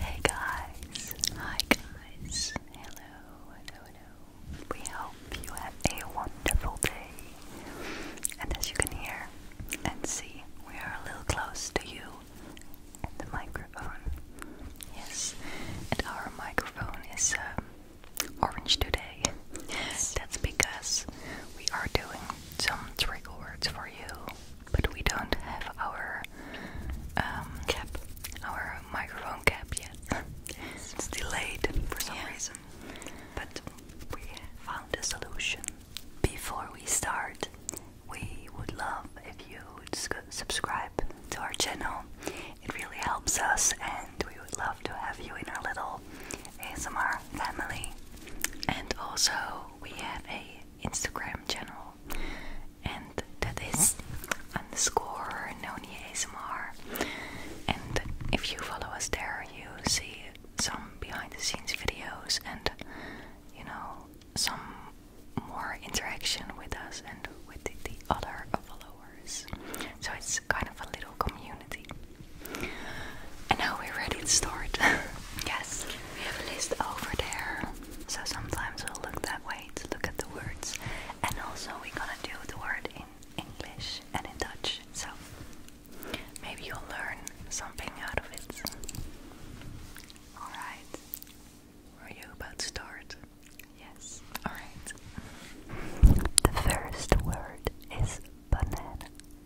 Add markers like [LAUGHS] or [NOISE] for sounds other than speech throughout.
Hey guys, hi guys, hello, hello, hello. We hope you have a wonderful day. And as you can hear and see, we are a little close to you and the microphone. Yes, and our microphone is um, orange today. That's because we are doing some trigger words for you but we don't have our um, cap, our microphone cap yet. it's delayed for some reason, but we found a solution. Before we start, we would love if you would subscribe to our channel. It really helps us, and we would love to have you in our little ASMR family. And also, we have a Instagram channel, and that is underscore Noni ASMR. And if you follow us there, you see some behind the scenes videos and you know some more interaction with us and with the other followers. So it's kind of a little community. And now we're ready to start. [LAUGHS] Yes, we have a list over there. So sometimes we'll look that way to look at the words. And also we're gonna do the word in English and in Dutch. So maybe you'll learn something out of it. Alright. Were you about to start? Yes. Alright. The first word is banana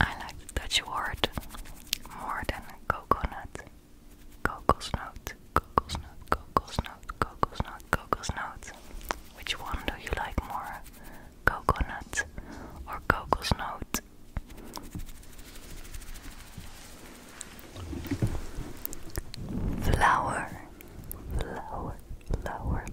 I like Dutch word more than coconut. Kokosnoot, kokosnoot, kokosnoot, kokosnoot, kokosnoot. Which one do you like more? Coconut or kokosnoot? Flower, flower, flower,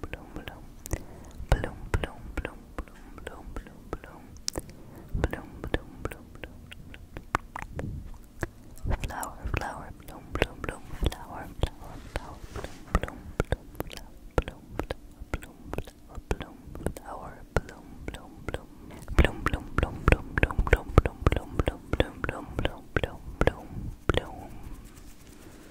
bloom, bloom, bloom. Bloom, bloom, bloom, bloom, bloom, bloom, bloom. Bloom, bloom, bloom, bloom. Flower, flower, bloom, bloom, bloom. Flower, flower, flower, bloom, bloom, bloom, bloom, bloom, bloom, bloom, bloom, flower, bloom, bloom, bloom. Bloom, bloom, bloom, bloom, bloom, bloom, bloom, bloom, bloom, bloom, bloom, bloom, bloom, bloom, bloom.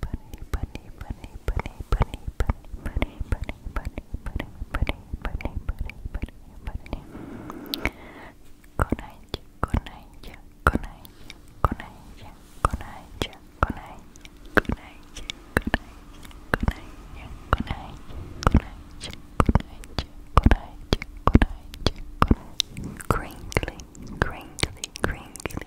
bunny, bunny, bunny, bunny, bunny, bunny, bunny, bunny, bunny, bunny, bunny, bunny, bunny, bunny. Konaichi, konaichi, konaichi, konaichi, konaichi, konaichi, konaichi, konaichi, konaichi, konaichi, konaichi, konaichi, konaichi, konaichi, Crinkly, crinkly, crinkly,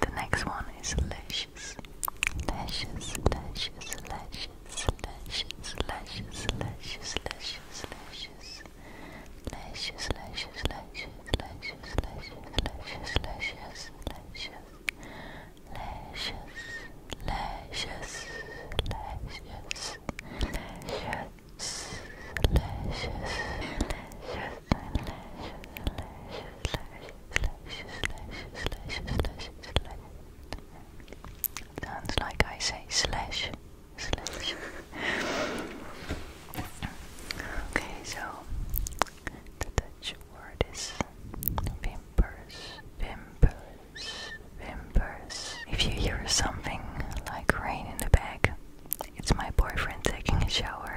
the next one is lashes. Lashes, lashes, lashes, lashes, lashes, lashes, lashes, lashes. Lashes, lashes, lashes, lashes, lashes, lashes, lashes, lashes. Lashes, lashes, lashes, lashes, Sounds like I say slash, slash. okay, so the Dutch word is pimpers, pimpers, pimpers. If you hear something like rain in the back, it's my boyfriend taking a shower.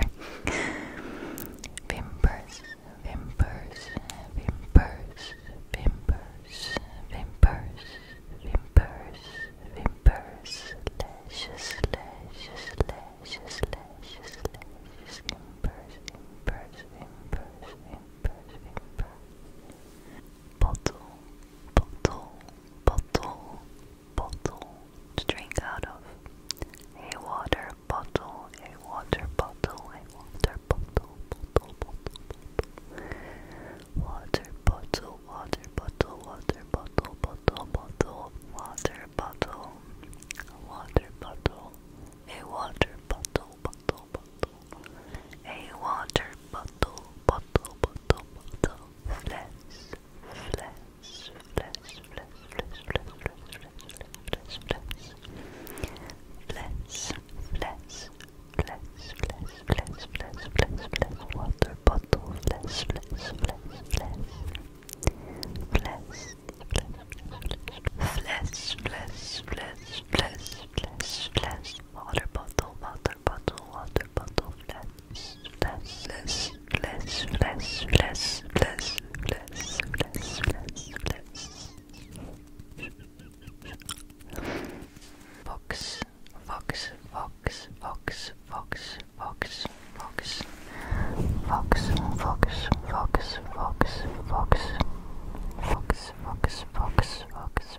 Vimpers, vimpers, vimpers, vimpers, vimpers, vimpers, vimpers, lashes, lashes, lashes, lashes, lashes, vimpers, vimpers, vimpers, vimpers, vimpers. Bottle, bottle, bottle, bottle to drink out of. A water bottle, a water bottle, a water bottle, bottle, bottle, bottle. Water bottle, water bottle, water bottle, bottle, bottle, water bottle, water bottle, a water bottle, bottle, bottle, a water bottle, bottle, bottle, bottle. Flex, flex, flex, flex, flex, flex, flex, flex, flex, flex, flex, flex, flex, flex, flex, flex, flex, water bottle, flex, flex, flex, flex, flex, flex, flex, flex, flex, flex, flex, water bottle, bottle, water bottle, water bottle, flash, flash, flash, flash, flash, flash, flash, flash, flash, flash. Fox, fox, fox, fox, fox, fox, fox, fox, fox, fox, fox, fox, fox, fox, fox, fox, fox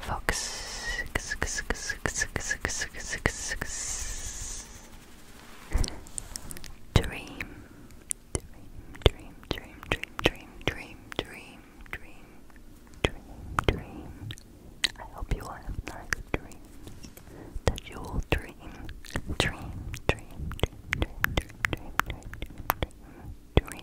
Fox. Dream. Dream, dream, dream, dream, dream, dream, dream, dream, dream. I hope you all have nice dreams. That you will dream. Dream, dream, dream, dream, dream, dream, dream, dream, dream.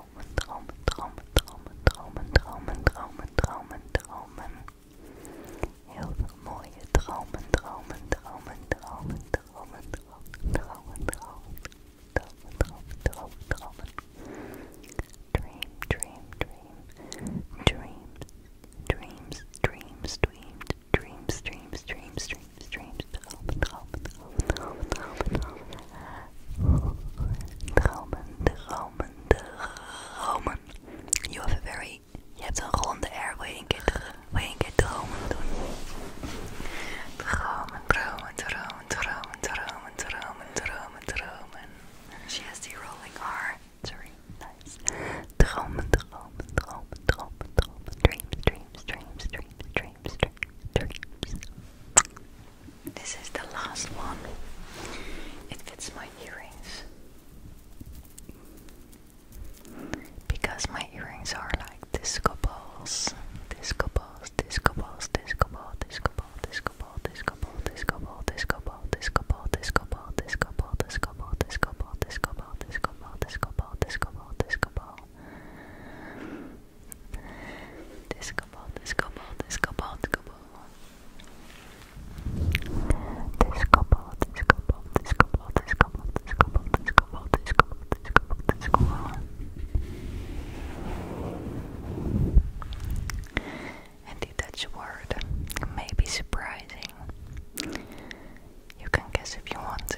Dromen, Dromen, Dromen, Dromen, Dromen, Dromen, Dromen, Dromen, Dromen. Heel veel mooie dromen, dromen, dromen, dromen, dromen, dromen, dromen, dromen, dromen, dromen, dromen, dromen. Dream, dream, dream, dreams, dreams, dreams, dreams, dreams, dreams, dreams, dreams, dreams, dromen, dromen, dromen, dromen, dromen, dromen. Dromen, dromen, dromen. You have a very... Je hebt een ronde airway in je we keer, wil dromen Dromen, dromen, dromen, dromen, dromen, dromen, dromen, dromen. She has the rolling R. Sorry, nice. Dromen, dromen, dromen, dromen, dromen. Dreams, dreams, dreams, dreams, dreams, dreams, dreams. This is the last one. It fits my earrings. Because my earrings are like disco balls. Disco balls, disco balls, disco ball, disco ball, disco ball, disco ball, disco ball, disco ball, disco ball, disco ball, disco ball, disco ball, disco ball, disco ball, disco ball, disco ball, disco ball, disco ball, disco ball. Disco ball, disco ball, disco ball, disco ball. Disco ball, disco ball, disco ball, disco ball, disco ball, disco ball, disco ball, disco ball, disco ball. And the Dutch word may be surprising. You can guess if you want to.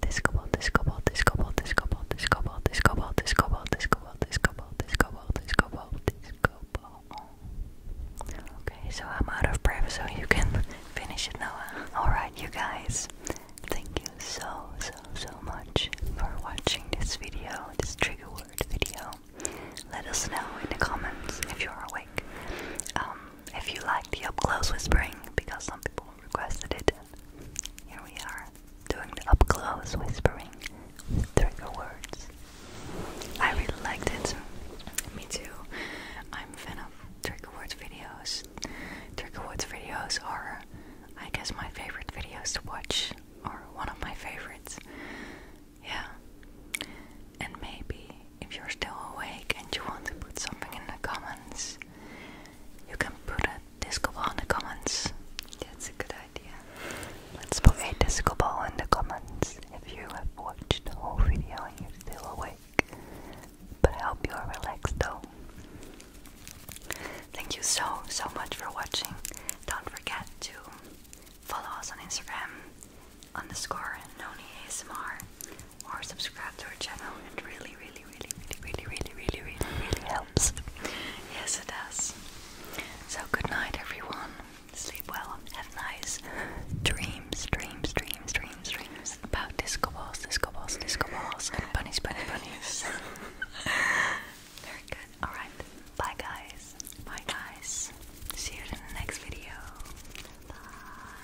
Disco ball, disco ball, disco ball, disco ball, disco ball, disco ball, disco ball, disco ball, disco ball, disco ball, disco ball, disco ball. Okay, so I'm out of breath, so you can finish it now. Alright, you guys. Thank you so, so, so much for watching this video, this trigger word video. Let us know in the comments if you're awake. Um, if you like the up close whispering, because some people requested it, and here we are doing the up close whispering with trigger words. I really liked it. Me too. I'm a fan of trigger words videos. Trigger words videos are, I guess, my favorite videos to watch, or one of my favorites. Yeah. And maybe if you're still awake and you want to put something in the comments, you can put a disco ball in the comments. That's a good idea. Let's put a disco ball in the comments if you have watched the whole video and you're still awake. But I hope you are relaxed though. Thank you so, so much for watching. Don't forget to follow us on Instagram underscore Noni ASMR or subscribe to our channel. It really, really, really, really, really, really, really, really, really helps. Yes, it does. So, good night, everyone. Sleep well. Have nice dreams, dreams, dreams, dreams, dreams about disco balls, disco balls, disco balls, and bunnies, bunnies, bunnies. [LAUGHS] Very good. All right. Bye, guys. Bye, guys. See you in the next video. Bye.